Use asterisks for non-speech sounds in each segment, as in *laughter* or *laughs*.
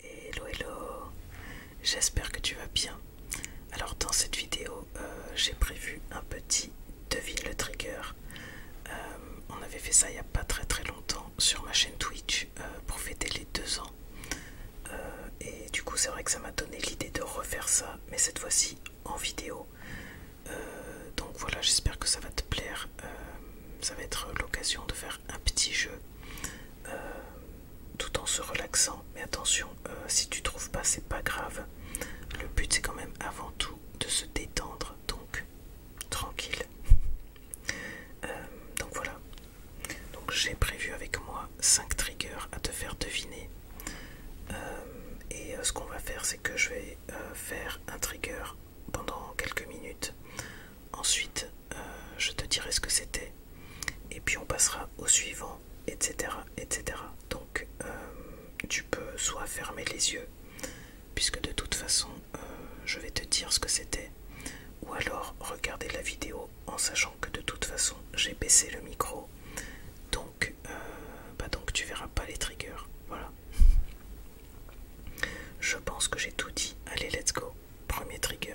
Hello hello, j'espère que tu vas bien. Alors dans cette vidéo, euh, j'ai prévu un petit devine le trigger. Euh, on avait fait ça il n'y a pas très très longtemps sur ma chaîne Twitch euh, pour fêter les deux ans. et du coup c'est vrai que ça m'a donné l'idée de refaire ça, mais cette fois-ci en vidéo. donc voilà, j'espère que ça va te plaire. ça va être l'occasion de faire un petit jeu euh, tout en se relaxant. Mais attention, euh, si tu trouves pas, c'est pas grave. Le but c'est quand même avant tout de se détendre, donc tranquille. Euh, donc voilà. Donc j'ai prévu avec moi cinq triggers à te faire deviner. et ce qu'on va faire, c'est que je vais faire un trigger pendant quelques minutes. Ensuite, euh, je te dirai ce que c'était, et puis on passera au suivant, etc. etc. Donc euh, tu peux soit fermer les yeux, puisque de toute façon euh, je vais te dire ce que c'était, ou alors regarder la vidéo en sachant que de toute façon j'ai baissé le micro, donc, bah donc tu verras pas les triggers. Voilà. *laughs* Je pense que j'ai tout dit. Allez, let's go. Premier trigger.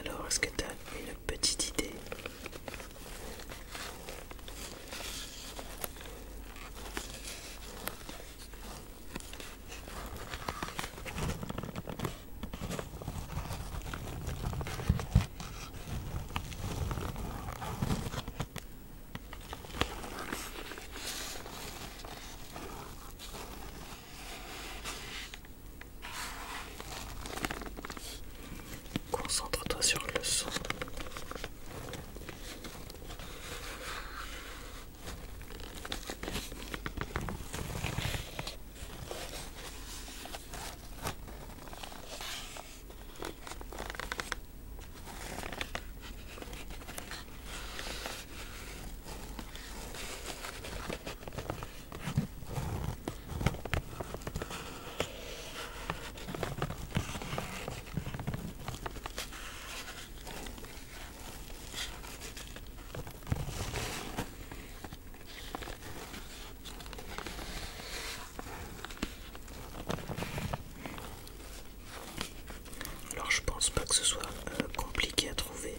Alors, est-ce que tu as une petite idée Concentre-toi sur le son. Alors je pense pas que ce soit euh, compliqué à trouver.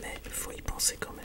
Mais il faut y penser quand même.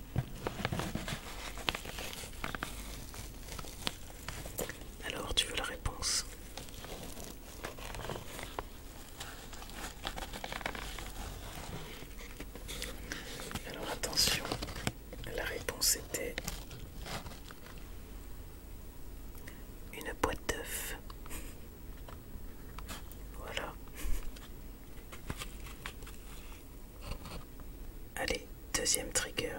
Alors, tu veux la réponse Alors attention, la réponse était une boîte d'œufs. Voilà. Allez, deuxième trigger.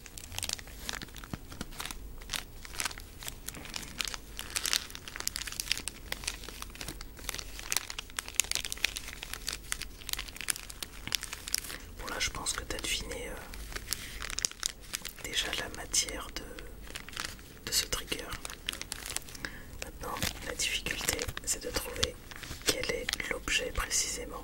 Bon là je pense que tu as deviné euh, déjà la matière de, de ce trigger. Maintenant la difficulté c'est de trouver quel est l'objet précisément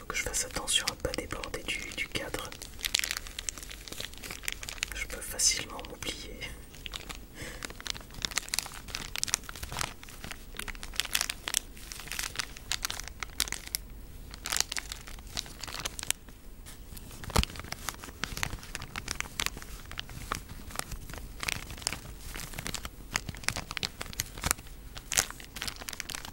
que je fasse attention à ne pas déborder du cadre. Je peux facilement m'oublier.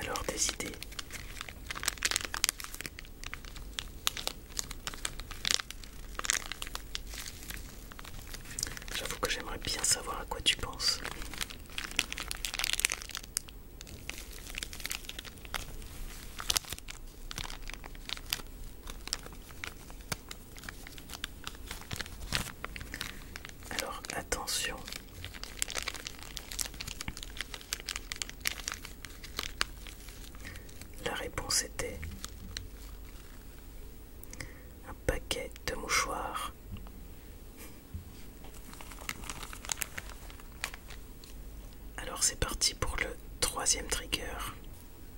Alors tes idées. J'avoue que j'aimerais bien savoir à quoi tu penses. Alors attention. La réponse était un paquet de mouchoirs. Alors c'est parti pour le troisième trigger.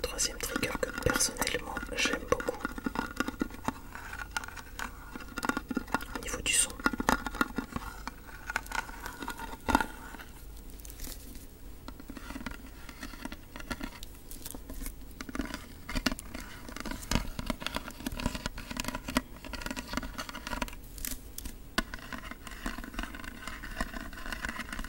Troisième trigger que personnellement j'aime beaucoup. Au niveau du son.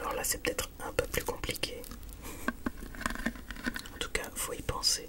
Alors là, c'est peut-être un peu plus compliqué. En tout cas, faut y penser.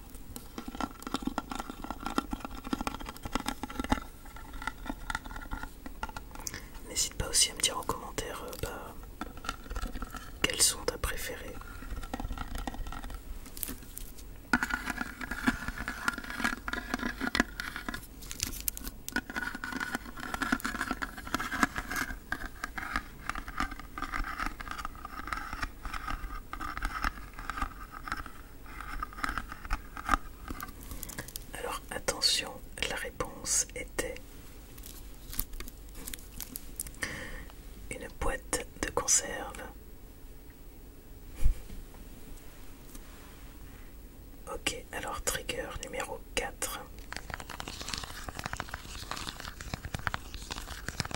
N'hésite pas aussi à me dire en commentaire euh, bah, quels sont ta préférée. Alors attention, la réponse était une boîte de conserve. Ok, alors trigger numéro 4.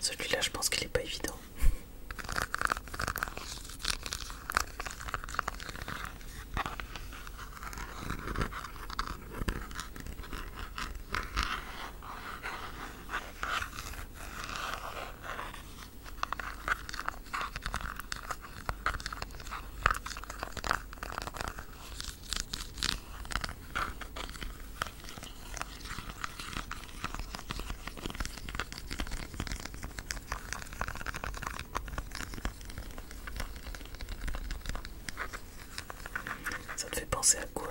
Celui-là, je pense qu'il n'est pas évident. Ça te fait penser à quoi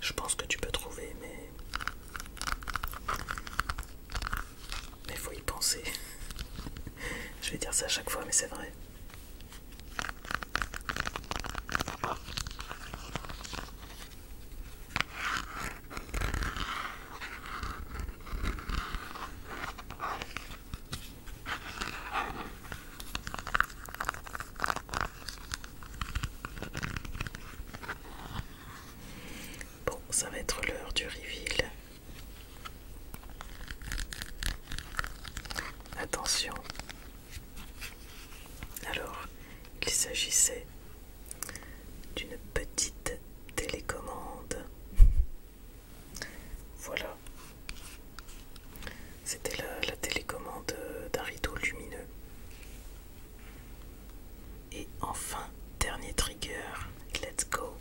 je pense que tu peux trouver, mais mais faut y penser. *laughs* Je vais dire ça à chaque fois, mais c'est vrai. Bon, ça va être l'heure du reveal Attention. Alors, il s'agissait d'une petite télécommande. *laughs* Voilà. C'était la, télécommande d'un rideau lumineux. Et enfin, dernier trigger, let's go.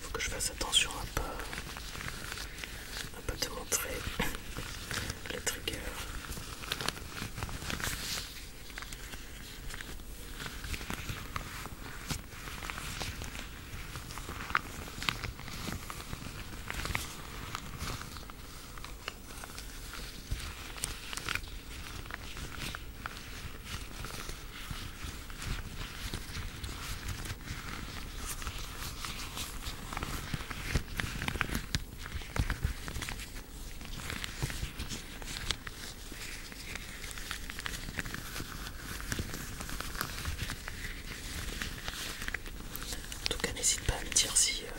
Faut que je fasse attention à pas, un peu te montrer *coughs* le trigger. En tout cas, n'hésite pas à me dire si, euh,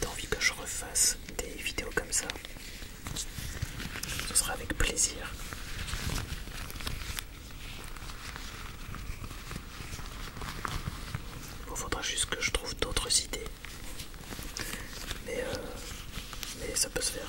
tu as envie que je refasse des vidéos comme ça. Ce sera avec plaisir. Il faudra juste que je trouve d'autres idées. Mais, euh, mais ça peut se faire.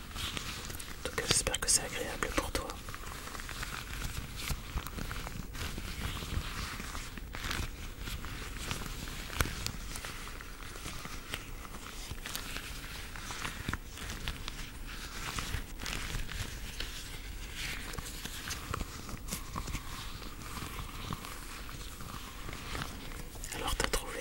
En j'espère que c'est agréable pour toi. Alors t'as trouvé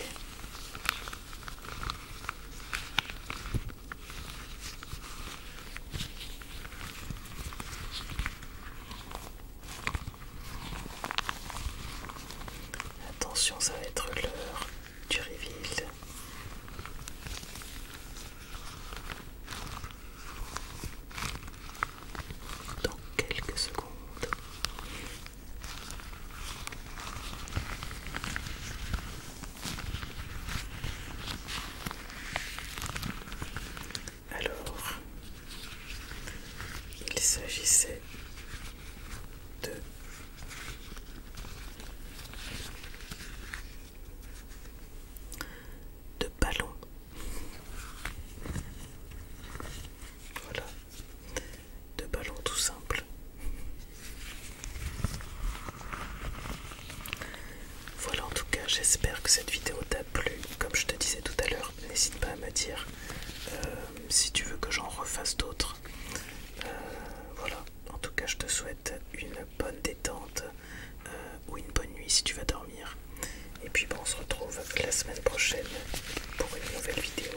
Attention, ça va être l'heure du reveal. Dans quelques secondes. Alors, il s'agissait de ballons. Voilà de ballon tout simple. Voilà en tout cas, j'espère que cette vidéo t'a plu. Comme je te disais tout à l'heure, n'hésite pas à me dire euh, si tu veux que j'en refasse d'autres. Euh, voilà, en tout cas je te souhaite une bonne détente euh, ou une bonne nuit si tu vas dormir. Et puis bon, on se retrouve la semaine prochaine pour une nouvelle vidéo.